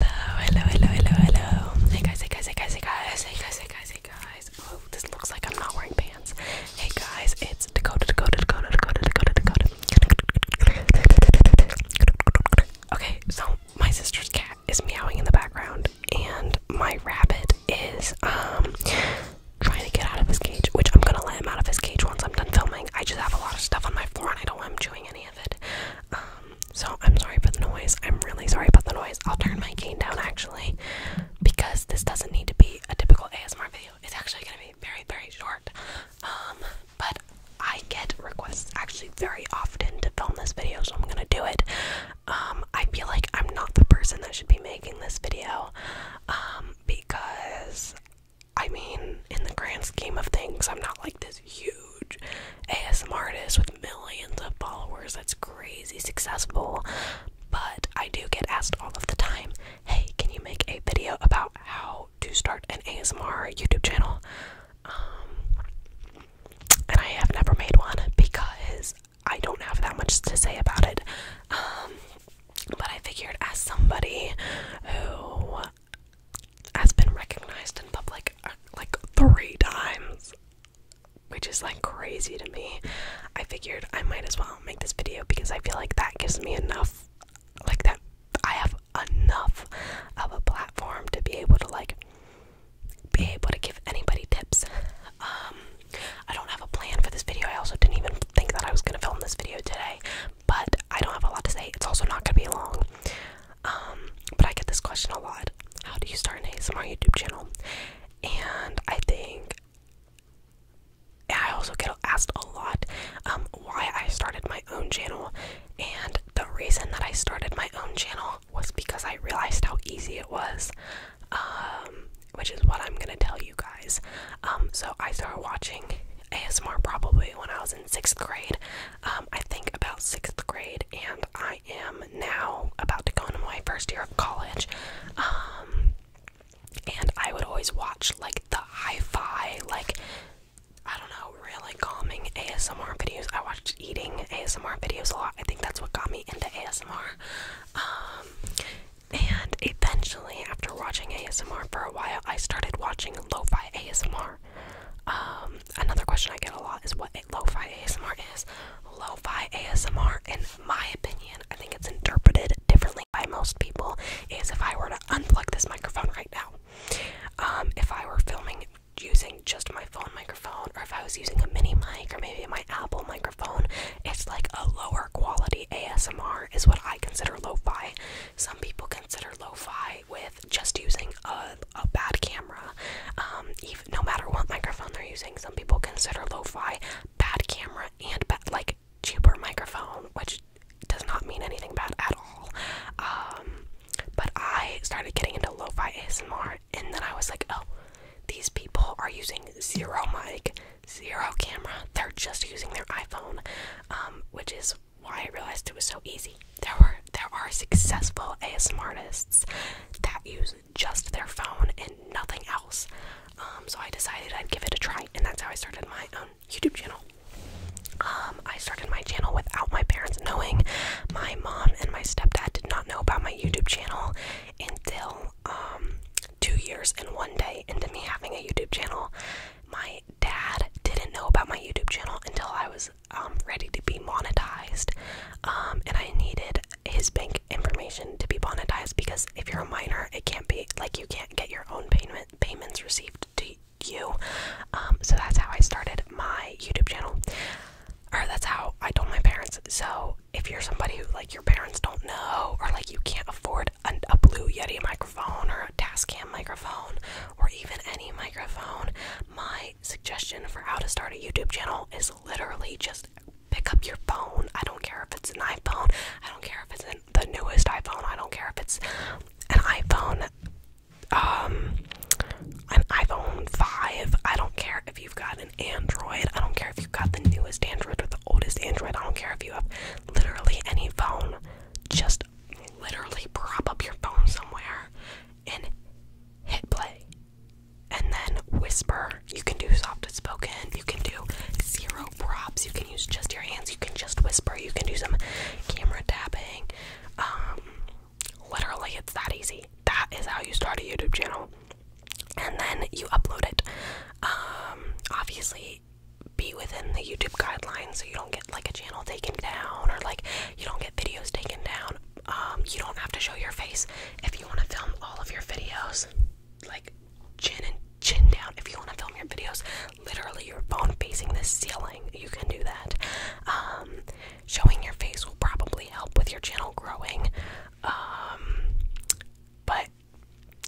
Hello, hello, hello, hello, Hey guys, hey guys, hey guys, hey guys, hey guys, hey guys, hey guys. Oh, this looks like I'm not wearing pants. Hey guys, it's Dakota, Dakota, Dakota, Dakota, Dakota, Dakota. Okay, so my sister's cat is meowing in the background, and my rabbit is um trying to get out of his cage, which I'm gonna let him out of his cage once I'm done filming. I just have a lot of stuff on my floor, and I don't want him chewing any of it. Um, so I'm sorry for the noise. I'm really sorry about the noise. I'll turn my cane down actually because this doesn't need to be a typical ASMR video. It's actually gonna be very, very short. Um, but I get requests actually very often to film this video, so I'm gonna do it. Um, I feel like I'm not the person that should be making this video. Um, because I mean, in the grand scheme of things, I'm not like this huge ASMR artist with millions of followers that's crazy successful. But I do get asked all of the time, hey, can you make a video about how to start an ASMR YouTube channel? Um, and I have never made one because I don't have that much to say about it. Um, but I figured, as somebody who has been recognized in public uh, like three times, which is like crazy to me. I figured I might as well make this video because I feel like that gives me enough, like that I have enough of a platform to be able to like be able to give anybody tips. Um, I don't have a plan for this video. I also didn't even think that I was gonna film this video today, but I don't have a lot to say. It's also not gonna be long. Um, but I get this question a lot. How do you start an ASMR YouTube channel? And I think I also get asked a lot um, why I started my own channel. And the reason that I started my own channel was because I realized how easy it was, um, which is what I'm gonna tell you guys. so I started watching ASMR probably when I was in sixth grade. Um, I think about sixth grade, and I am now about to go into my first year of college. Um, and I would always watch like the hi fi, like I don't know, really calming ASMR videos. I watched eating ASMR videos a lot. I think that's what got me into ASMR. Um, and eventually, after watching ASMR for a while, I started watching lo fi ASMR. Um, another question I get a lot is what a lo-fi ASMR is. Lo-fi ASMR, in my opinion, I think it's interpreted differently by most people. Is if I were to unplug this microphone right now, um, if I were filming using just my phone microphone, or if I was using a mini mic, or maybe my Apple microphone, it's like a lower quality ASMR is what I consider lo-fi. Some people consider lo-fi with just using a, a bad camera. Um, even, no matter what microphone they're using, some people consider lo-fi bad camera and bad, like cheaper microphone, which does not mean anything bad at all. Um, but I started getting into lo-fi ASMR, and then I was like, oh, these people are using zero mic, zero camera. They're just using their iPhone, um, which is why I realized it was so easy. There were there are successful ASMR artists that use just their phone and nothing else. Um, so I decided I'd give it a try, and that's how I started my own um, YouTube channel. Um, I started my channel without my parents knowing. My mom and my stepdad did not know about my YouTube channel until two years and one day into me having a YouTube channel. My dad didn't know about my YouTube channel until I was um, ready to be monetized, um, and I needed his bank information to be monetized because if you're a minor, it can't be like you can't get your own payment payments received to you. Um, so that's how I started my YouTube channel, or that's how I told my parents. So if you're somebody who like your parents don't know, or like you can't afford an, a Blue Yeti microphone or a Tascam microphone or even any microphone, my suggestion for how to start a YouTube channel is literally just pick up your phone. I don't care if it's an iPhone. I don't care if it's the newest iPhone. I don't care if it's an iPhone um an iPhone 5. I don't care if you've got an Android. I don't care if you've got the newest Android or the oldest Android. I don't care if you have literally any phone. Just literally prop up your phone somewhere and hit play. And then whisper. You can do soft spoken. You can do zero props. You can use just your hands. You can just whisper. You can do some camera tapping. Um, literally, it's that easy. That is how you start a YouTube channel. And then you upload it. Um, obviously, be within the YouTube guidelines so you don't get like a channel taken down or like you don't get videos taken down. Um, you don't have to show your face if you want to film all of your videos. Like chin and chin down. If you want to film your videos, literally your phone facing the ceiling, you can do that. Um, showing your face will probably help with your channel growing. Um, but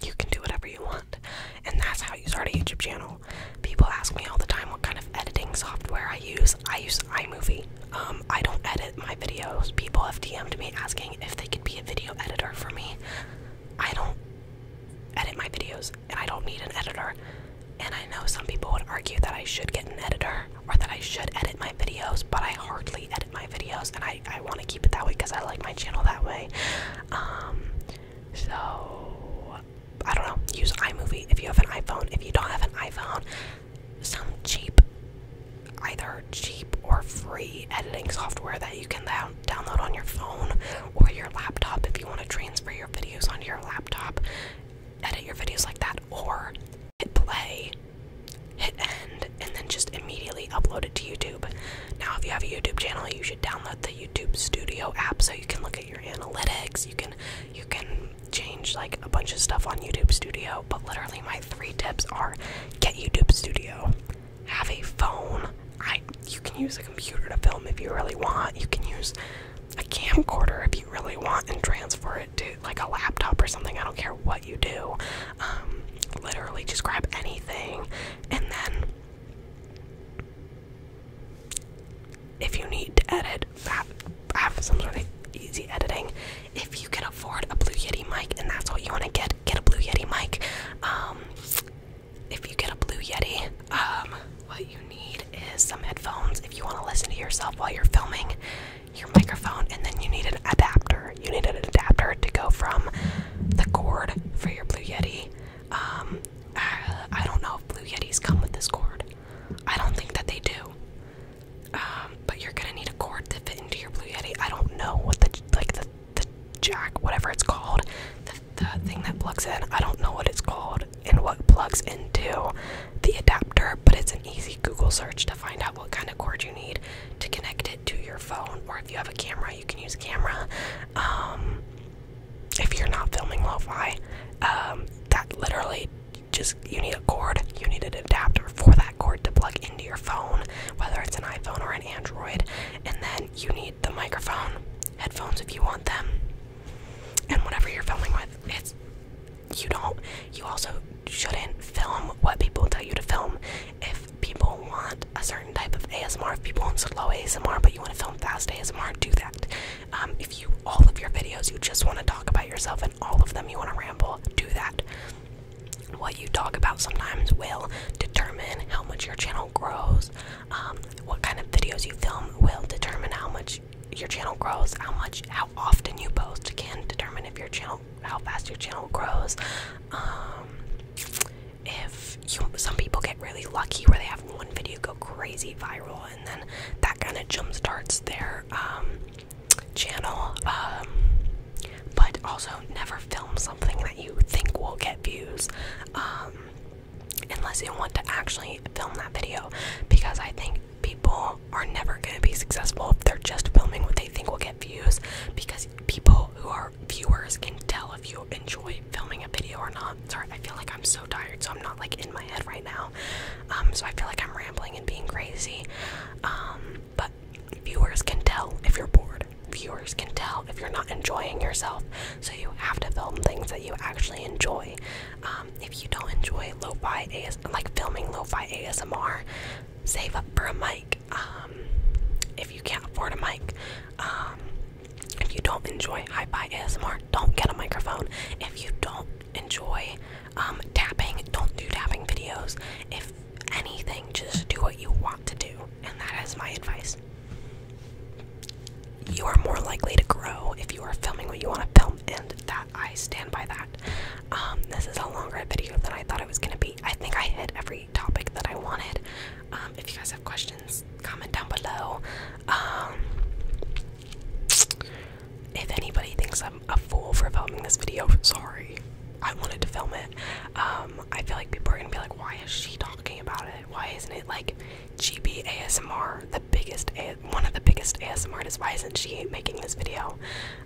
you can do whatever you want, and that's how you start a YouTube channel. People ask me all the time what kind of editing software I use. I use iMovie. Um, I don't edit my videos. People have DM'd me asking if they could be a video editor for me. I don't edit my videos, and I don't need an editor. And I know some people would argue that I should get an editor or that I should edit my videos, but I hardly edit my videos, and I, I want to keep it that way because I like my channel that way. Um, so I don't know, use iMovie if you have an iPhone. If you don't have an iPhone, some cheap, either cheap or free editing software that you can download on your phone or your laptop if you want to transfer your videos onto your laptop, edit your videos like that, or hit play, hit end, and then just immediately upload it to YouTube. Now, if you have a YouTube channel, you should download the YouTube Studio app so you can look at your analytics. You can you can change like a bunch of stuff on YouTube Studio, but literally my three tips are get YouTube Studio, have a phone. I you can use a computer to film if you really want. You can use a camcorder if you really want and transfer it to like a laptop or something. I don't care what you do. Um, literally just grab anything and then if you need to edit, have, some sort of easy editing. If you can afford a Blue Yeti mic, and that's what you want to get, get a Blue Yeti mic. Um, if you get a Blue Yeti, um, what you need is some headphones if you want to listen to yourself while you're filming your microphone, and then you need an adapter. You need an adapter to go from the cord for your Blue Yeti. Um, uh, I don't know if Blue Yetis come with this cord. I don't think that they do. Um, but you're gonna need a cord to fit into your Blue Yeti. I don't know what the like the the jack, whatever it's called, the, thing that plugs in. I don't know what it's called and what plugs into the adapter. But it's an easy Google search to find out what kind of cord you need to connect it to your phone. Or if you have a camera, you can use a camera. Um, if you're not filming lo-fi, um, that literally just you need a cord, you need an adapter for that cord to plug into your phone, whether it's an iPhone or an Android, and then you need the microphone, headphones if you want them, and whatever you're filming with. It's you don't you also shouldn't film what people tell you to film. If people want a certain type of ASMR, if people want slow ASMR but you want to film fast ASMR, do that. Um, if you all of your videos you just want to talk about yourself and all of them you want to ramble, do that. What you talk about sometimes will determine how much your channel grows. Um, what kind of videos you film will determine how much your channel grows. How much, how often you post can determine if your channel, how fast your channel grows. Um, if you, some people get really lucky where they have one video go crazy viral and then that kind of jump starts their um, channel. Um, but also, never film something that you think will get views um, unless you want to actually film that video, because I think people are never going to be successful if they're just filming what they think will get views because people who are viewers can tell if you enjoy filming a video or not. Sorry, I feel like I'm so so tired, so I'm not like in my head right now. Um, so I feel like I'm rambling and being crazy. Um, but viewers can tell if you're bored. Viewers can tell if you're not enjoying yourself. So you have to film things that you actually enjoy. Um, if you don't enjoy lo-fi AS like filming lo-fi ASMR, save up for a mic. if you can't afford a mic, if you don't enjoy hi-fi ASMR, don't get a microphone. If you don't enjoy um, tapping, don't do tapping videos. If anything, just do what you want to do, and that is my advice. You are more likely to grow if you are filming what you want to film, and that I stand by that. Um, this is a longer video than I thought it was going to be. I think I hit every topic that I wanted. Um, if you guys have questions, comment down below if anybody thinks I'm a fool for filming this video, sorry. I wanted to film it. Um, I feel like people are gonna be like, why is she talking about it? Why isn't it like GB ASMR, the biggest, one of the biggest ASMR artists? Why isn't she making this video?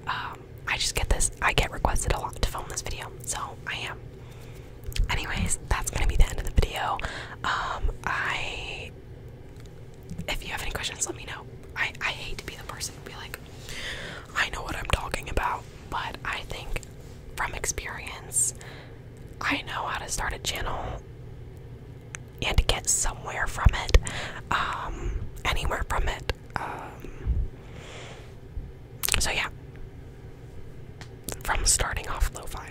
Um, I just get this, I get requested a lot to film this video, so I am. Anyways, that's gonna be the end of the video. Um, I if you have any questions, let me know. I, I hate to be the person to be like, I know what I'm talking about, but I think from experience, I know how to start a channel and get somewhere from it, um, anywhere from it. Um, so, yeah, from starting off low fi